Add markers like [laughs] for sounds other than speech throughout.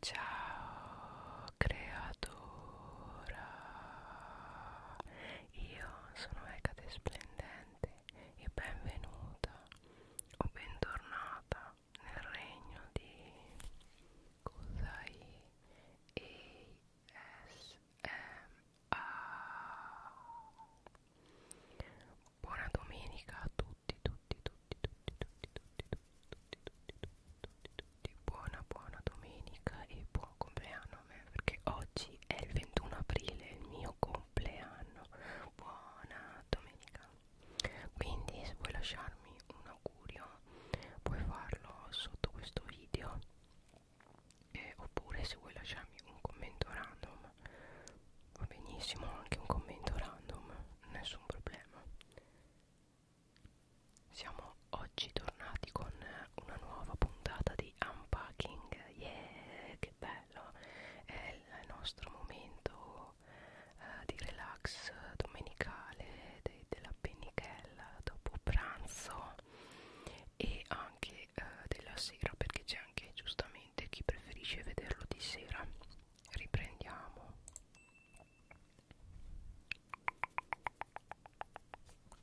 Ciao creatora, io sono Ecate Splendente e benvenuta o bentornata nel regno di Kusai ASMR. Buona domenica a tutti tutti, tutti, tutti, tutti, tutti, tutti, tutti, tutti, tutti, tutti, buona, buona domenica e buon compleanno a me perché oggi è il 21 aprile, il mio compleanno. Buona domenica. Quindi se vuoi lasciarmi un augurio puoi farlo sotto questo video eh, oppure se vuoi lasciarmi un commento random va benissimo anche un commento random nessun problema siamo oggi tornati con una nuova puntata di unpacking. Yeah, che bello! È il nostro momento eh, di relax domenicale de della pennichella dopo pranzo e anche eh, della sera perché c'è anche giustamente chi preferisce vederlo di sera. Riprendiamo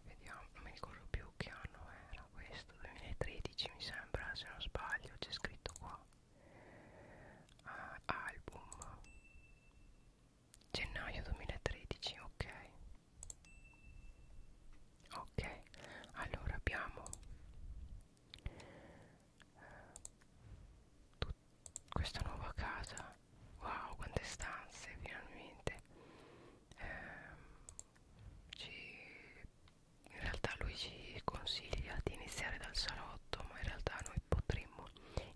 Vediamo, non mi ricordo più che anno era questo, 2013 mi sembra, se non sbaglio, c'è scritto qua. Ah, album. Gennaio 2013, ok. Ok, allora abbiamo questa nuova casa wow quante stanze finalmente ehm, ci, in realtà lui ci consiglia di iniziare dal salotto ma in realtà noi potremmo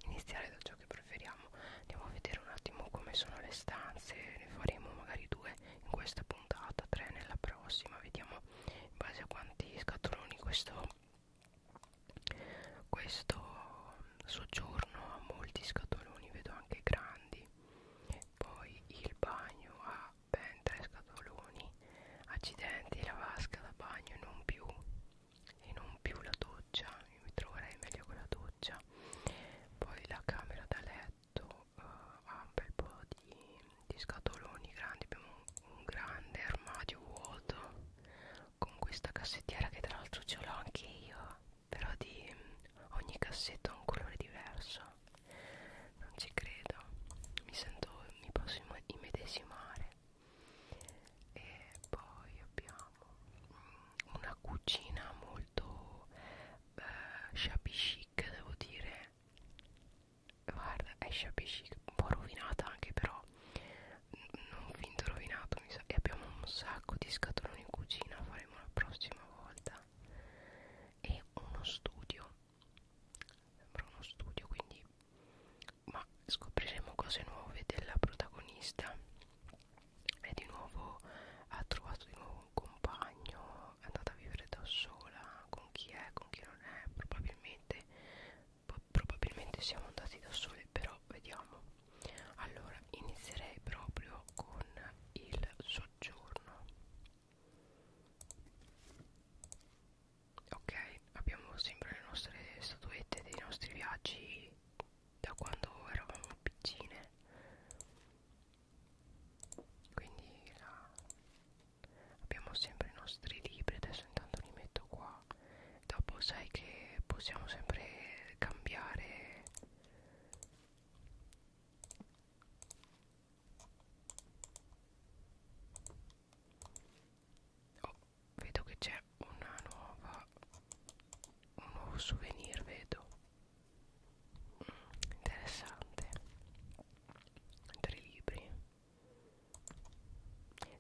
iniziare da ciò che preferiamo andiamo a vedere un attimo come sono le stanze ne faremo magari due in questa puntata tre nella prossima vediamo in base a quanti scatoloni questo questo soggiorno ha molti scatoloni vedo anche grandi poi il bagno ha ben tre scatoloni accidenti la vasca da bagno e non più e non più la doccia io mi troverei meglio con la doccia poi la camera da letto uh, ha un bel po' di, di scatoloni grandi abbiamo un grande armadio vuoto con questa cassettiera che tra l'altro ce l'ho anche io però di ogni cassetto ha un colore diverso non ci credo mi sento mi posso immedesimare e poi abbiamo mm, una cucina molto eh, shabby chic devo dire guarda esce a pesci un po' rovinata anche però non finto rovinato mi sa e abbiamo un sacco di scatoloni in cucina faremo la prossima volta e uno studio sembra uno studio quindi ma scopriremo cose nuove della protagonista e di nuovo ha trovato di nuovo un compagno è andata a vivere da sola con chi è con chi non è probabilmente probabilmente siamo andati da soli però vediamo allora inizierei proprio con il soggiorno ok abbiamo sempre le nostre statuette dei nostri viaggi da quando eravamo piccine quindi la... abbiamo sempre i nostri libri adesso intanto li metto qua dopo sai che possiamo sempre cambiare oh, vedo che c'è una nuova un nuovo souvenir vedo mm, interessante tre libri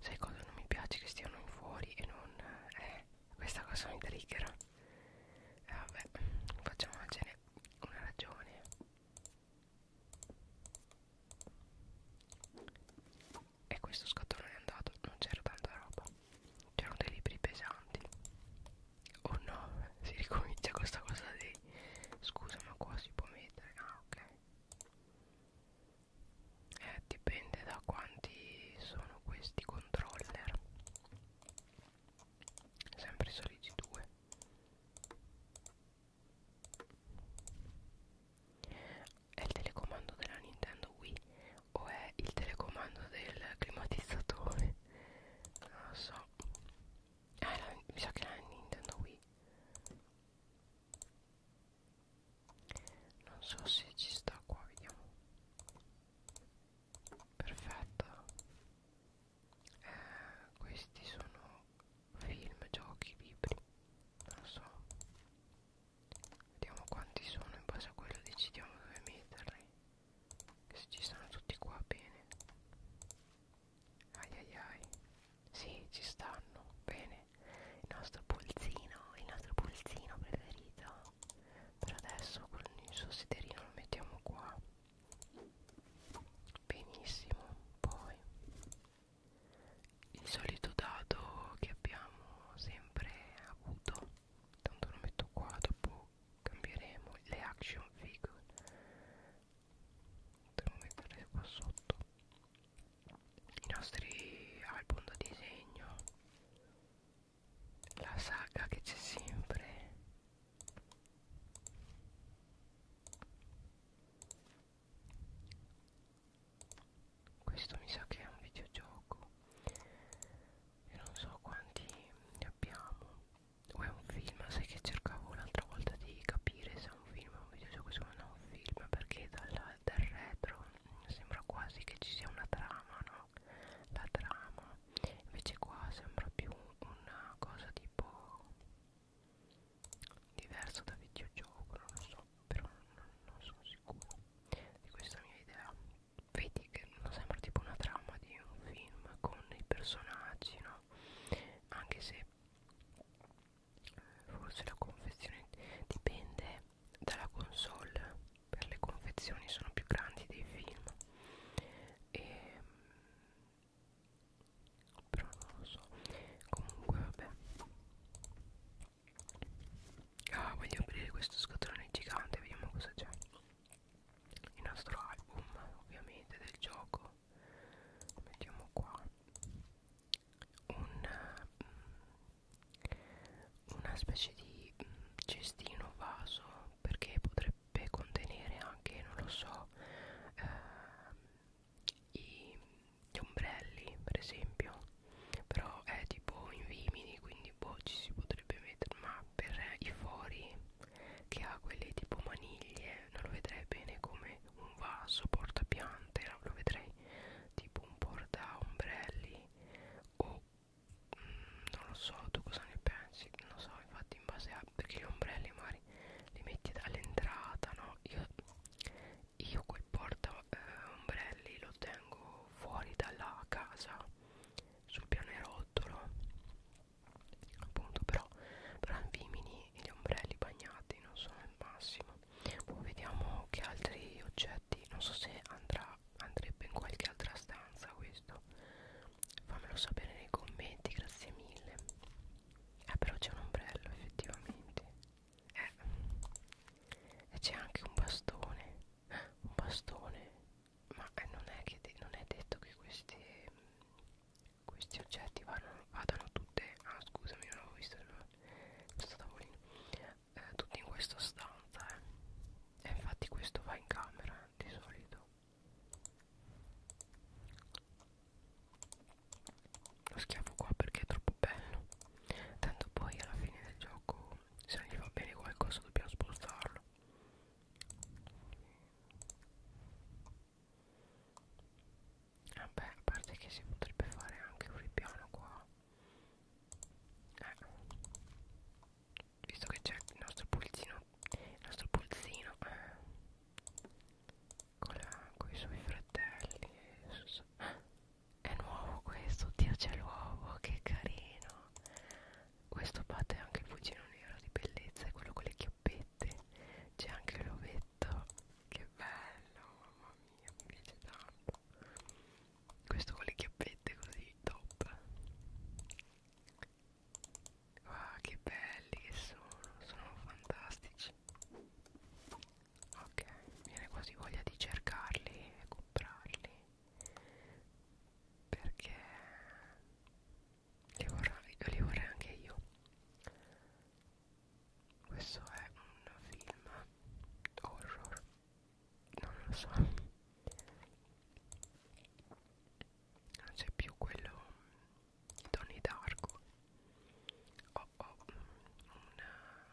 sai cosa non mi piace che stiano fuori e non eh, questa cosa mi trigger eh, vabbè facciamocene una ragione e questo scatolone è andato non c'era tanta roba c'erano dei libri pesanti oh no [laughs] si ricomincia questa cosa dei scusa ma qua si può mettere ah ok eh, dipende da quanti sono questi controller sempre i soliti due è il telecomando della Nintendo Wii o è il telecomando del climatizzatore non lo so ah, la, mi sa che la Nintendo Wii non so se ci sta qua vediamo perfetta eh, questi sono film giochi libri non so vediamo quanti sono in base a quello decidiamo dove metterli che se ci stanno tutti qua bene ai ai ai sì, ci stanno. Bene. Il nostro pulzino, il nostro pulzino preferito. Per adesso con il suo sederino lo mettiamo qua. Benissimo. Poi il solito dado che abbiamo sempre avuto. Tanto lo metto qua, dopo cambieremo le action figure. Devo mettere qua sotto i nostri album da disegno la saga che c'è sempre questo mi sa che è un videogioco e non so quanti ne abbiamo o è un film sai che cercavo l'altra volta di capire se è un film o un videogioco secondo me è un film perché dalla del retro sembra quasi che ci sia una trama no? la trama invece qua sembra più una cosa tipo diverso da videogioco non lo so però non, non sono sicuro di questa mia idea vedi che non sembra tipo una trama di un film con i personaggi no anche se forse la confezione dipende dalla console per le confezioni sono più grandi dei film e, ehm, però non lo so comunque vabbè ah voglio aprire questo scatolone gigante vediamo cosa c'è il nostro album ovviamente del gioco lo mettiamo qua un, una specie di mm, cestino vaso perché potrebbe contenere anche, non lo so, eh, i, gli ombrelli per esempio però è tipo in vimini quindi boh ci si potrebbe mettere ma per i fori che ha quelle tipo maniglie non lo vedrei bene come un vaso portapiante lo vedrei tipo un porta ombrelli o mm, non lo so tu cosa ne pensi non lo so infatti in base a perché gli ombrelli magari li metti dall'entrata no io, io quel porta eh, ombrelli lo tengo fuori dalla casa sul pianerottolo appunto però però in Vimini gli ombrelli bagnati non sono il massimo poi vediamo che altri oggetti non so se andrà andrebbe in qualche altra stanza questo fammelo sapere nei commenti grazie mille eh però c'è un ombrello effettivamente eh. e c'è anche un bastone un bastone ma eh, non, è che non è detto che questi questi oggetti vadano, vadano tutte ah scusami non avevo visto il questo tavolino eh, tutto in questa stanza eh. e infatti questo va in camera eh, di solito lo schiavo qua perché è troppo bello tanto poi alla fine del gioco se non gli va bene qualcosa dobbiamo spostarlo Vabbè, a parte che si potrebbe fare anche un ripiano qua. Eh. Visto che c'è il nostro pulzino, il nostro pulzino eh. con, la, con i suoi fratelli. Su, ah. [gasps] È nuovo questo, Dio c'è l'uovo, che carino. Questo batte anche il cugino nero di bellezza, è quello con le chioppette. C'è anche l'ovetto, che bello, mamma mia, mi piace tanto questo con le chiappette così top ah che belli che sono sono fantastici ok viene quasi voglia di cercarli e comprarli perché li vorrei, li vorrei anche io questo è un film horror, non lo so, non c'è più quello di Tony Darko. Ho oh, oh, un,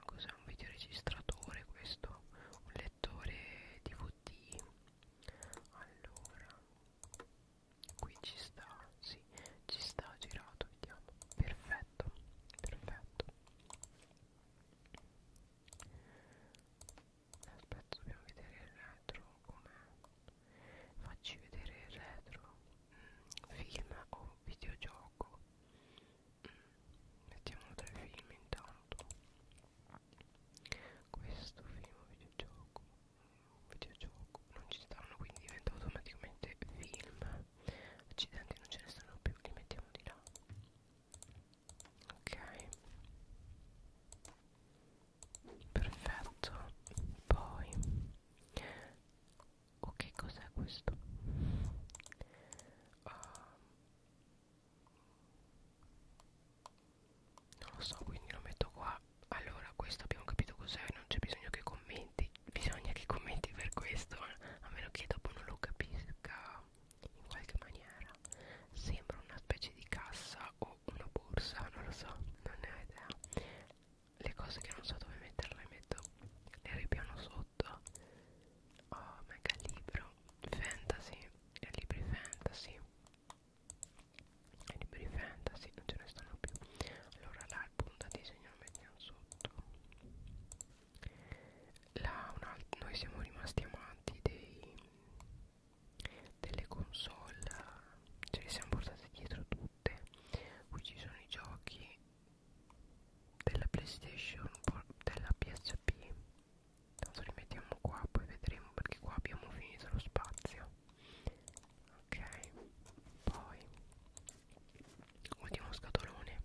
un videoregistratore questo, un lettore DVD. Allora, qui ci sta, sì, ci sta girato, vediamo, perfetto perfetto, perfetto. Aspetta, dobbiamo vedere il retro com'è. Facci vedere il retro. Mm, film o videogioco. Mm, mettiamolo tra i film intanto. Questo film o videogioco. Mm, videogioco. Non ci stanno, quindi diventa automaticamente film accidenti non ce ne stanno più li mettiamo di là ok perfetto poi ok oh, cos'è questo uh, non lo so quindi lo metto qua allora questo abbiamo capito cos'è non c'è bisogno che commenti bisogna che commenti per questo a meno che dopo non lo capisca in qualche maniera sembra una specie di cassa o una borsa non lo so non ne ho idea le cose che non so dove metterle metto le ripiano sotto oh mega libro fantasy e libri fantasy e libri fantasy non ce ne stanno più allora l'album da disegno lo mettiamo sotto la, una, noi siamo rimasti amanti dei, delle console, ce le siamo portate dietro tutte. Qui ci sono i giochi della PlayStation, della PSP. Tanto li mettiamo qua, poi vedremo perché qua abbiamo finito lo spazio. Ok, poi ultimo scatolone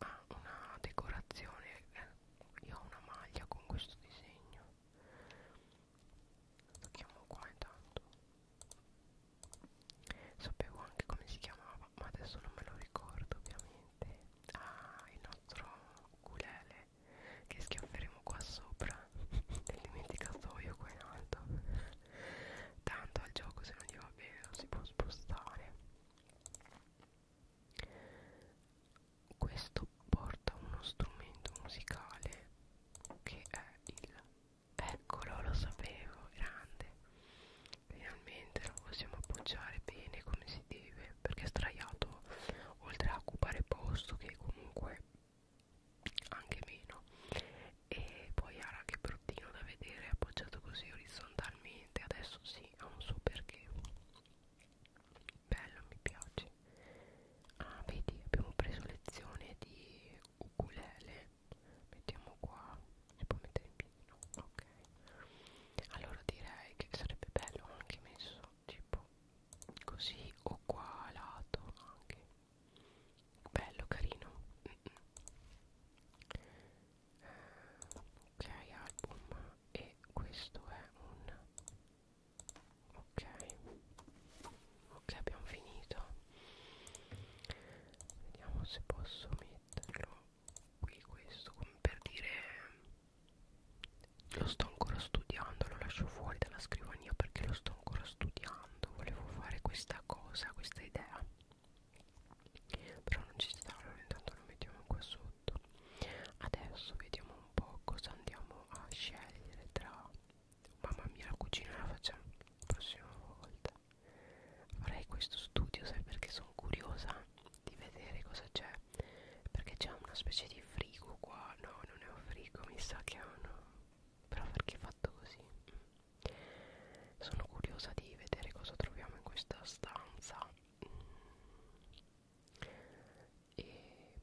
ha ah, una decorazione eh, io ho una maglia con questo disegno lo chiamo qua intanto sapevo anche come si chiamava ma adesso non me lo ricordo ovviamente ah il nostro culele che schiafferemo qua sopra nel [laughs] dimenticatoio qua in alto Tanto al gioco se non gli va bene lo si può spostare Questo porta uno strumento musicale Che è il... Eccolo, lo sapevo, grande Finalmente lo possiamo appoggiare bene come si deve Perché è straiato Oltre a occupare posto che comunque anche meno e poi ara che bruttino da vedere appoggiato così orizzontalmente adesso sì ha un suo perché bello mi piace ah vedi abbiamo preso lezione di ukulele mettiamo qua si può mettere in piedi no ok allora direi che sarebbe bello anche messo tipo così o qua a lato anche bello carino mm -mm. ok album e questo è un ok ok abbiamo finito vediamo se posso metterlo qui questo come per dire lo sto ancora studiando lo lascio fuori dalla scrivania perché lo sto ancora studiando volevo fare questa cosa questa idea però non ci sta allora intanto lo mettiamo qua sotto adesso vediamo un po' cosa andiamo a scegliere tra mamma mia la cucina la facciamo la prossima volta farei questo studio sai perché sono curiosa di vedere cosa c'è perché c'è una specie di frigo qua no non è un frigo mi sa che è uno però perché è fatto così sono curiosa di vedere cosa troviamo in questa stanza mm. e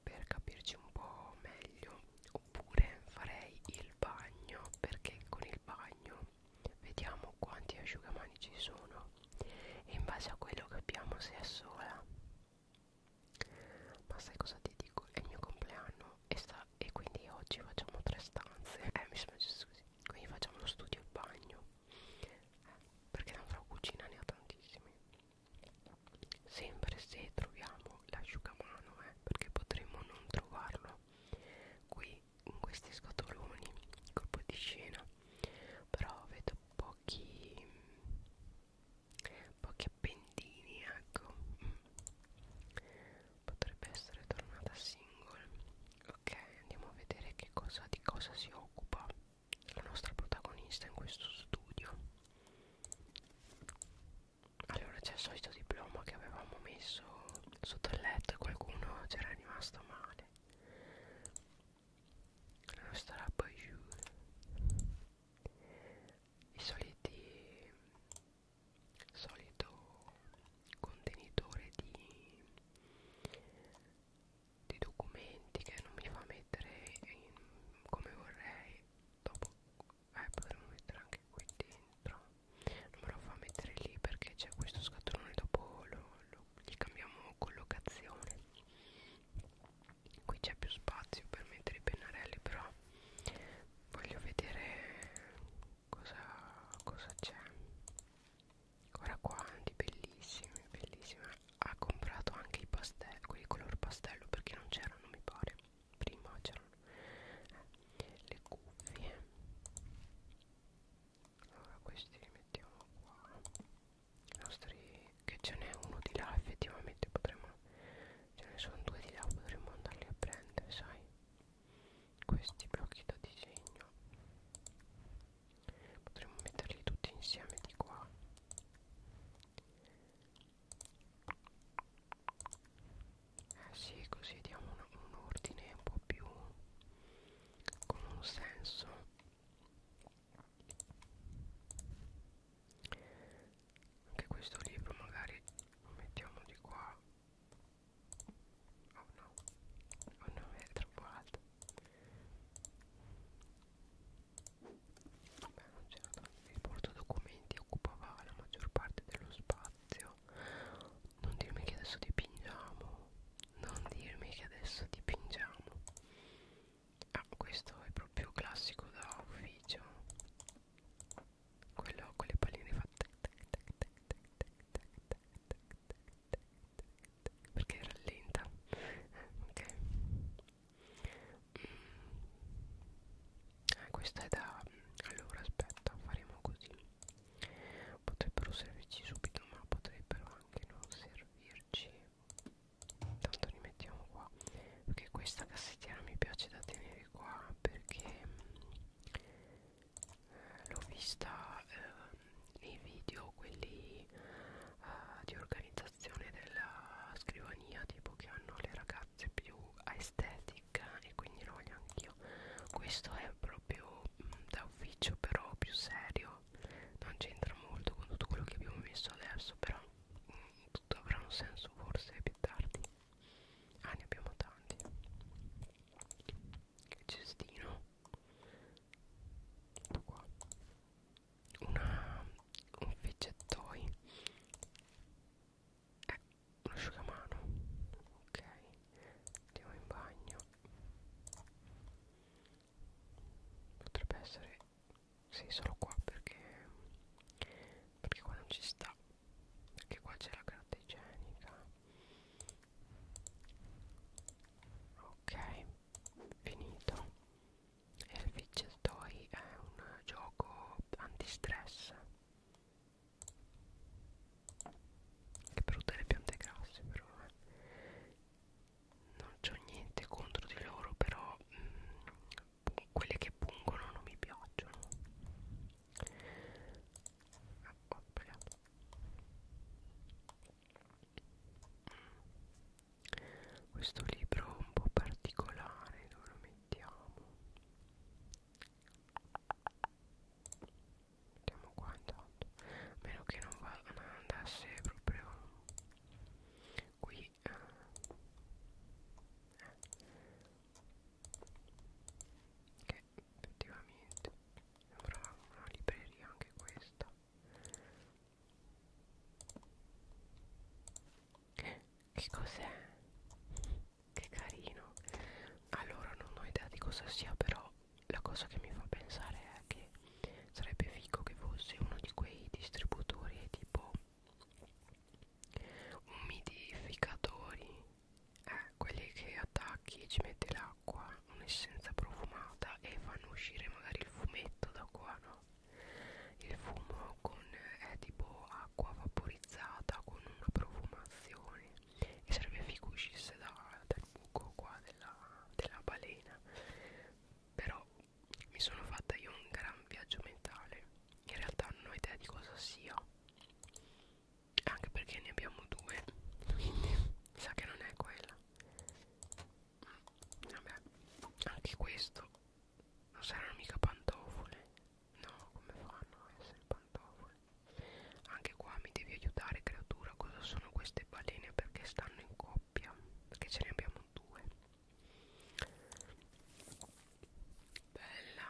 per capirci un po' meglio oppure farei il bagno perché con il bagno vediamo quanti asciugamani ci sono e in base a quello capiamo se è sola ma sai cosa ti dico? È il mio compleanno e sta e quindi oggi facciamo tre stanze eh mi sembra giusto così quindi facciamo lo studio e bagno perché la fra cucina ne ha tantissimi sempre se troviamo l'asciugamano eh, perché potremmo non trovarlo qui in questi scatoloni colpo di scena però vedo pochi pochi appendini ecco potrebbe essere tornata single ok andiamo a vedere che cosa di cosa si occupa la nostra protagonista in questo studio allora c'è il solito diploma che avevamo messo sotto il letto e qualcuno c'era rimasto male la nostra Bayou i soliti solito contenitore di, di documenti che non mi fa mettere in, come vorrei dopo eh, potremmo mettere anche qui dentro non me lo fa mettere lì perché c'è questo scatolone dopo lo, lo, gli cambiamo collocazione qui c'è più spazio per mettere i pennarelli però voglio vedere cosa c'è? Ora quanti, bellissimi, bellissimi. Ha comprato anche i pastelli, quelli color pastello perché non c'erano, mi pare. Prima c'erano eh, le cuffie. Allora questi li mettiamo qua. I nostri che ce n'è uno di là effettivamente potremmo ce ne sono due di là potremmo andarli a prendere sai questi blocchi da disegno potremmo metterli tutti insieme di qua eh sì così diamo un, un ordine un po' più con un senso anche questo libro magari lo mettiamo di qua Oh no, oh no, è troppo alto. Vabbè, non c'era tanto. Il portadocumenti occupava la maggior parte dello spazio. Non dirmi che adesso dipingiamo. Non dirmi che adesso dipingiamo. Ah, questo è proprio classico da ufficio quello con le palline fatte perché rallenta ok eh, questa è da allora aspetta faremo così potrebbero servirci subito ma potrebbero anche non servirci tanto li mettiamo qua perché questa cassettiera mi piace da tenere qua perché l'ho vista eh, nei video quelli eh, di organizzazione della scrivania tipo che hanno le ragazze più aesthetic e quindi lo voglio anch'io questo è proprio mh, mm, da ufficio però più serio non c'entra molto con tutto quello che abbiamo messo adesso però mh, mm, tutto avrà un senso forse più tardi ah ne abbiamo tanti il cestino tutto qua una un fidgettoi eh, un asciugamano ok andiamo in bagno potrebbe essere sì solo qua perché perché qua non ci sta perché qua c'è la carta igienica ok finito il fidget toy è un gioco antistress che brutte le piante grasse però eh. non c'ho niente contro di loro però mh, mm, quelle che pungono non mi piacciono ho sbagliato questo libro è un po' particolare dove lo mettiamo mettiamo qua intanto a meno che non, va, non andasse proprio qui eh che effettivamente sembrava una libreria anche questa che cos'è? che carino allora non ho idea di cosa sia però la cosa che mi fa pensare è che sarebbe figo che fosse uno di quei distributori tipo umidificatori eh, quelli che attacchi ci metti l'acqua un'essenza profumata e fanno uscire magari il fumetto da qua no il fumo con eh, è tipo acqua vaporizzata con una profumazione e sarebbe figo uscisse da, dal buco qua della, della balena però mi sono fatta io un gran viaggio mentale in realtà non ho idea di cosa sia anche perché ne abbiamo due quindi mi sa che non è quella mm, vabbè anche questo non saranno mica pantofole no come fanno a essere pantofole anche qua mi devi aiutare creatura cosa sono queste balene perché stanno in coppia perché ce ne abbiamo due bella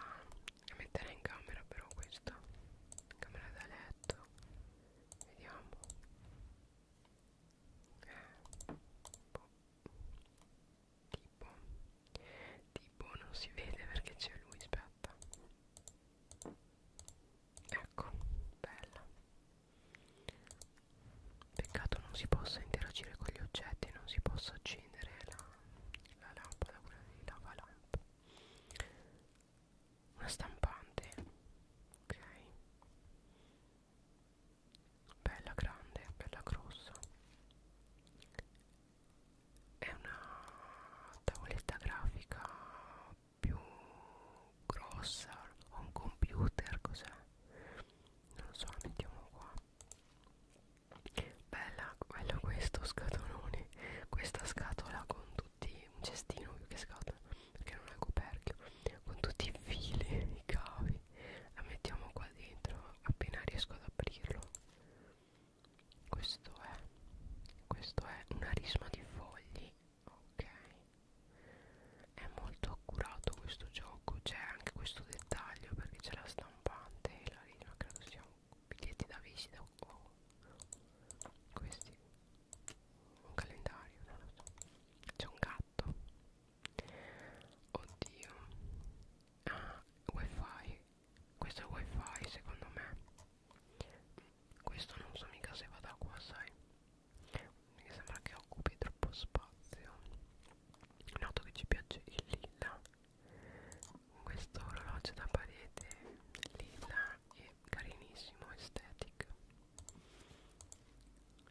da mettere in camera però questa camera da letto vediamo eh, boh. tipo tipo non si vede perché c'è lui aspetta ecco bella peccato non si possa interagire con gli oggetti non si possa accendere la, la lampada quella di lavalampa una stampante ok bella grande bella grossa è una tavoletta grafica più grossa o un computer cos'è non lo so mettiamo qua Bella, bello questo scatolone, questa scatola con tutti, un cestino più che scatola, perché non è coperchio, con tutti i fili, i cavi, la mettiamo qua dentro appena riesco ad aprirlo. Questo è, questo è una risma di fogli, ok, è molto accurato questo gioco, c'è anche questo dettaglio perché c'è la stampante e la risma credo sia un biglietti da visita o oh, questi un calendario non lo so c'è un gatto oddio ah wifi questo è wifi secondo me questo non so mica se va da qua sai mi sembra che occupi troppo spazio noto che ci piace il lilla questo orologio da parete lilla e carinissimo estetic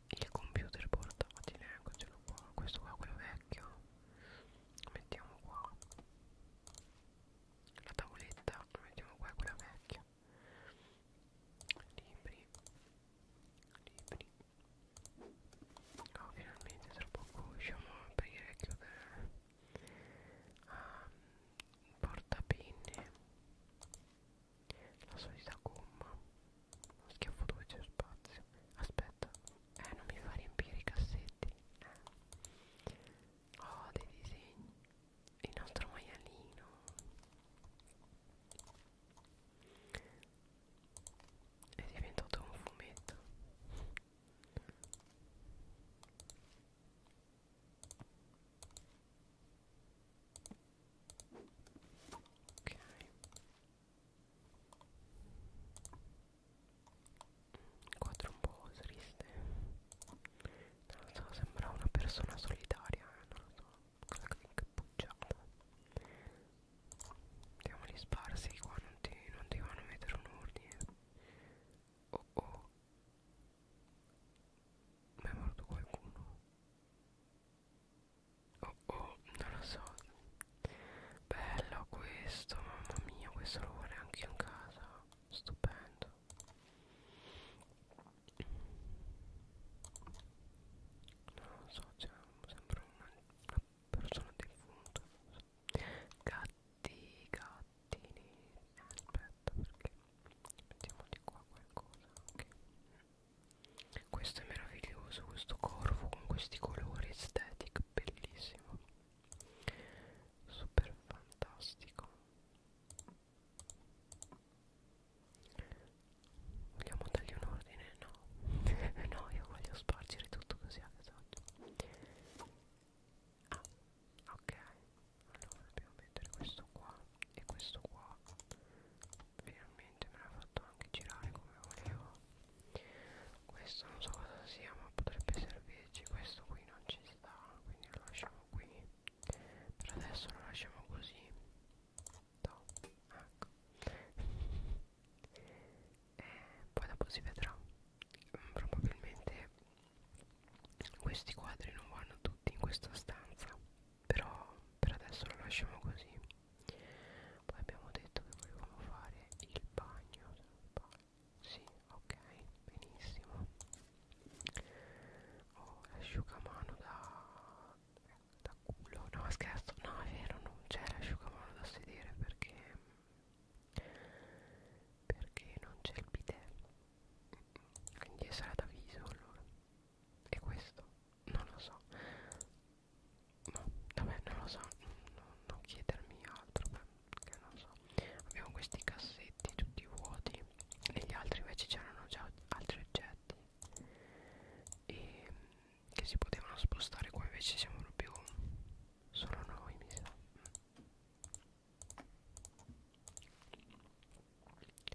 il computer portatile eccocelo qua questo qua quello vecchio lo mettiamo qua la tavoletta lo mettiamo qua quella vecchia libri libri oh finalmente tra poco riusciamo a aprire e chiudere ah, ehm, un portapenne la solita gomma uno schiaffo dove c'è spazio aspetta eh non mi fa riempire i cassetti eh. oh dei disegni il nostro maialino è diventato un fumetto Ok. Quattro un po' triste. Non lo so, sembra una persona solitaria, eh, non lo so. Quella che bucciata. Andiamoli sparsi qua, non ti, non ti vanno a mettere un ordine. Oh oh Ma è morto qualcuno Oh oh non lo so Bello questo Mamma mia questo lo vorrei anche in casa Stupendo Non lo so cioè, Sembra una, una persona defunta so gatti gattini aspetta perché mettiamo di qua qualcosa ok questo è meraviglioso questo corvo con questi colori aesthetic bellissimo super fantastico vogliamo dargli un ordine? no [laughs] no io voglio spargere tutto così a esatto ah ok allora dobbiamo mettere questo qua e questo qua finalmente me l'ha fatto anche girare come volevo questo non so cosa sia ma potrebbe servirci questo qui non ci sta quindi lo lasciamo qui per adesso lo lasciamo così no, ecco eh, poi dopo si vedrà probabilmente questi quadri non vanno tutti in questa stanza però per adesso lo lasciamo così poi abbiamo detto che volevamo fare il bagno sì ok benissimo ho oh, l'asciugamano da da culo no scherzo no è vero non c'è l'asciugamano da sedere perché perché non c'è il bidet quindi sarà da viso allora e questo non lo so no vabbè non lo so non, non chiedermi altro beh, che non so abbiamo questi cassetti tutti vuoti negli altri invece c'erano già altri oggetti e che si potevano spostare qua invece siamo proprio solo noi mi sa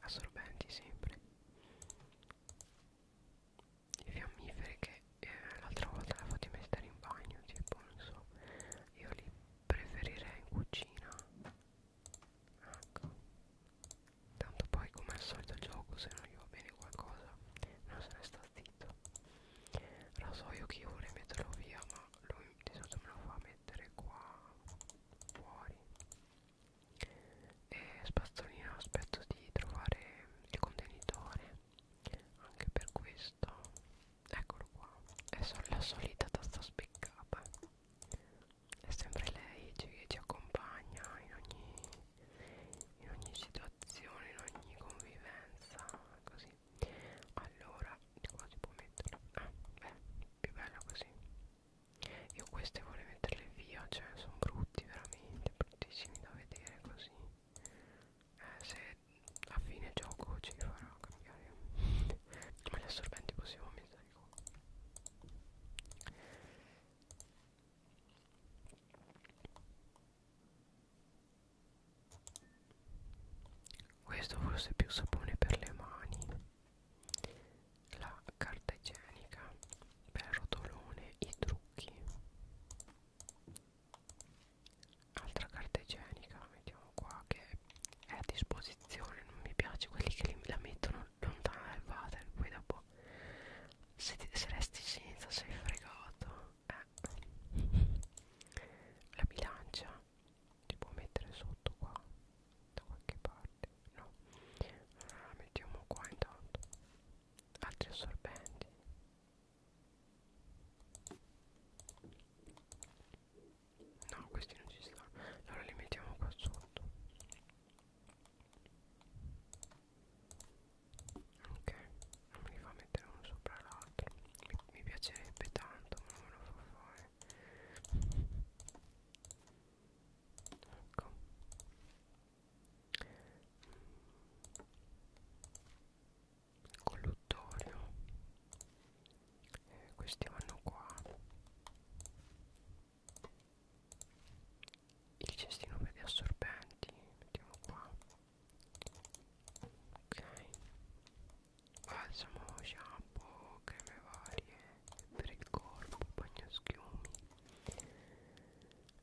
assorbenti sempre i fiammiferi che eh, l'altra volta li ho fatti mettere in bagno tipo non so io li preferirei in cucina ecco tanto poi come al solito il gioco se non gli va bene qualcosa non se ne sta zitto finito rasoio che io vorrei metterlo via ma lui di solito me lo fa mettere qua fuori e spazzolino aspetto di trovare il contenitore anche per questo eccolo qua è la solita tasta spiccata è sempre lei che ci accompagna in ogni, in ogni situazione in ogni convivenza così allora di qua si può metterlo ah beh più bello così io queste vorrei metterle via cioè sono brutti veramente bruttissimi da vedere così eh, se a fine gioco ci farò cambiare [laughs] ma gli assorbenti possiamo metterli qua questo forse è più sapone per le mani la carta igienica per rotolone i trucchi altra carta igienica la mettiamo qua che è a disposizione non mi piace quelli che la mettono lontana dal water poi dopo se, ti, se resti senza sei fregato eh. la bilancia si può mettere sotto qua da qualche parte no allora, la mettiamo qua intanto altri assorbenti no questi non ci stanno allora li mettiamo qua sotto ok me li fa mettere uno sopra l'altro mi, mi piacerebbe tanto ma non me lo fa fare ecco colluttorio eh, questi vanno qua il cestino per gli assorbenti mettiamo qua ok balsamo shampoo creme varie per il corpo bagnoschiumi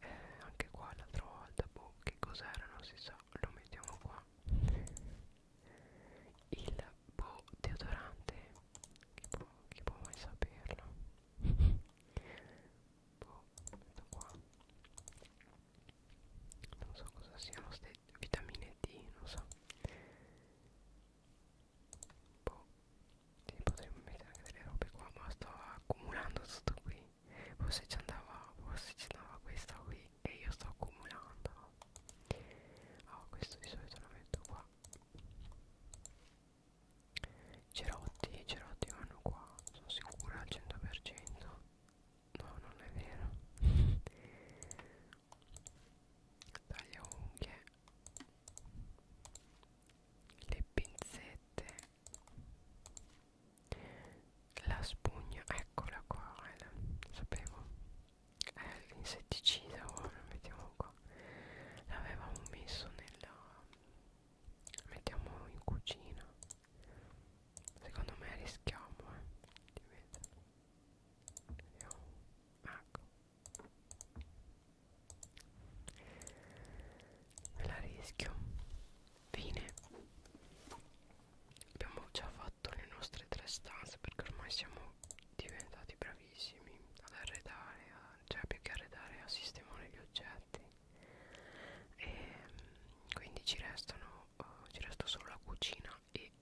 eh, anche qua l'altra volta boh che cos'era non si sa lo mettiamo qua il boh deodorante chi può, chi può mai saperlo [laughs] boh metto qua non so cosa siano queste vitamine D, non so boh, sì, potremmo mettere anche delle robe qua ma sto accumulando tutto qui forse ci andava forse ci andava questa qui e io sto accumulando oh, questo di solito lo metto qua cerotti cerotti vanno qua sono sicura al 100% No, non è vero. [laughs] Taglia unghie. Le pinzette. La spugna, eccola qua, eh, la, sapevo. È eh, l'insetticida, ora mettiamo qua. L'avevamo messo nella... Mettiamo in cucina Secondo me rischiamo, eh. Vediamo. Ecco. Me la rischio. Fine. Abbiamo già fatto le nostre tre stanze perché ormai siamo diventati bravissimi ad arredare, a, cioè più che arredare a sistemare gli oggetti. E ehm, quindi ci restano, uh, ci resta solo la cucina e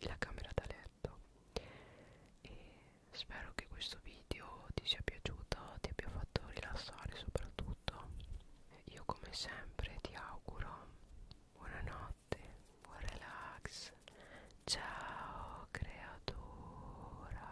la camera da letto e spero che questo video ti sia piaciuto ti abbia fatto rilassare soprattutto io come sempre ti auguro buonanotte buon relax ciao creatura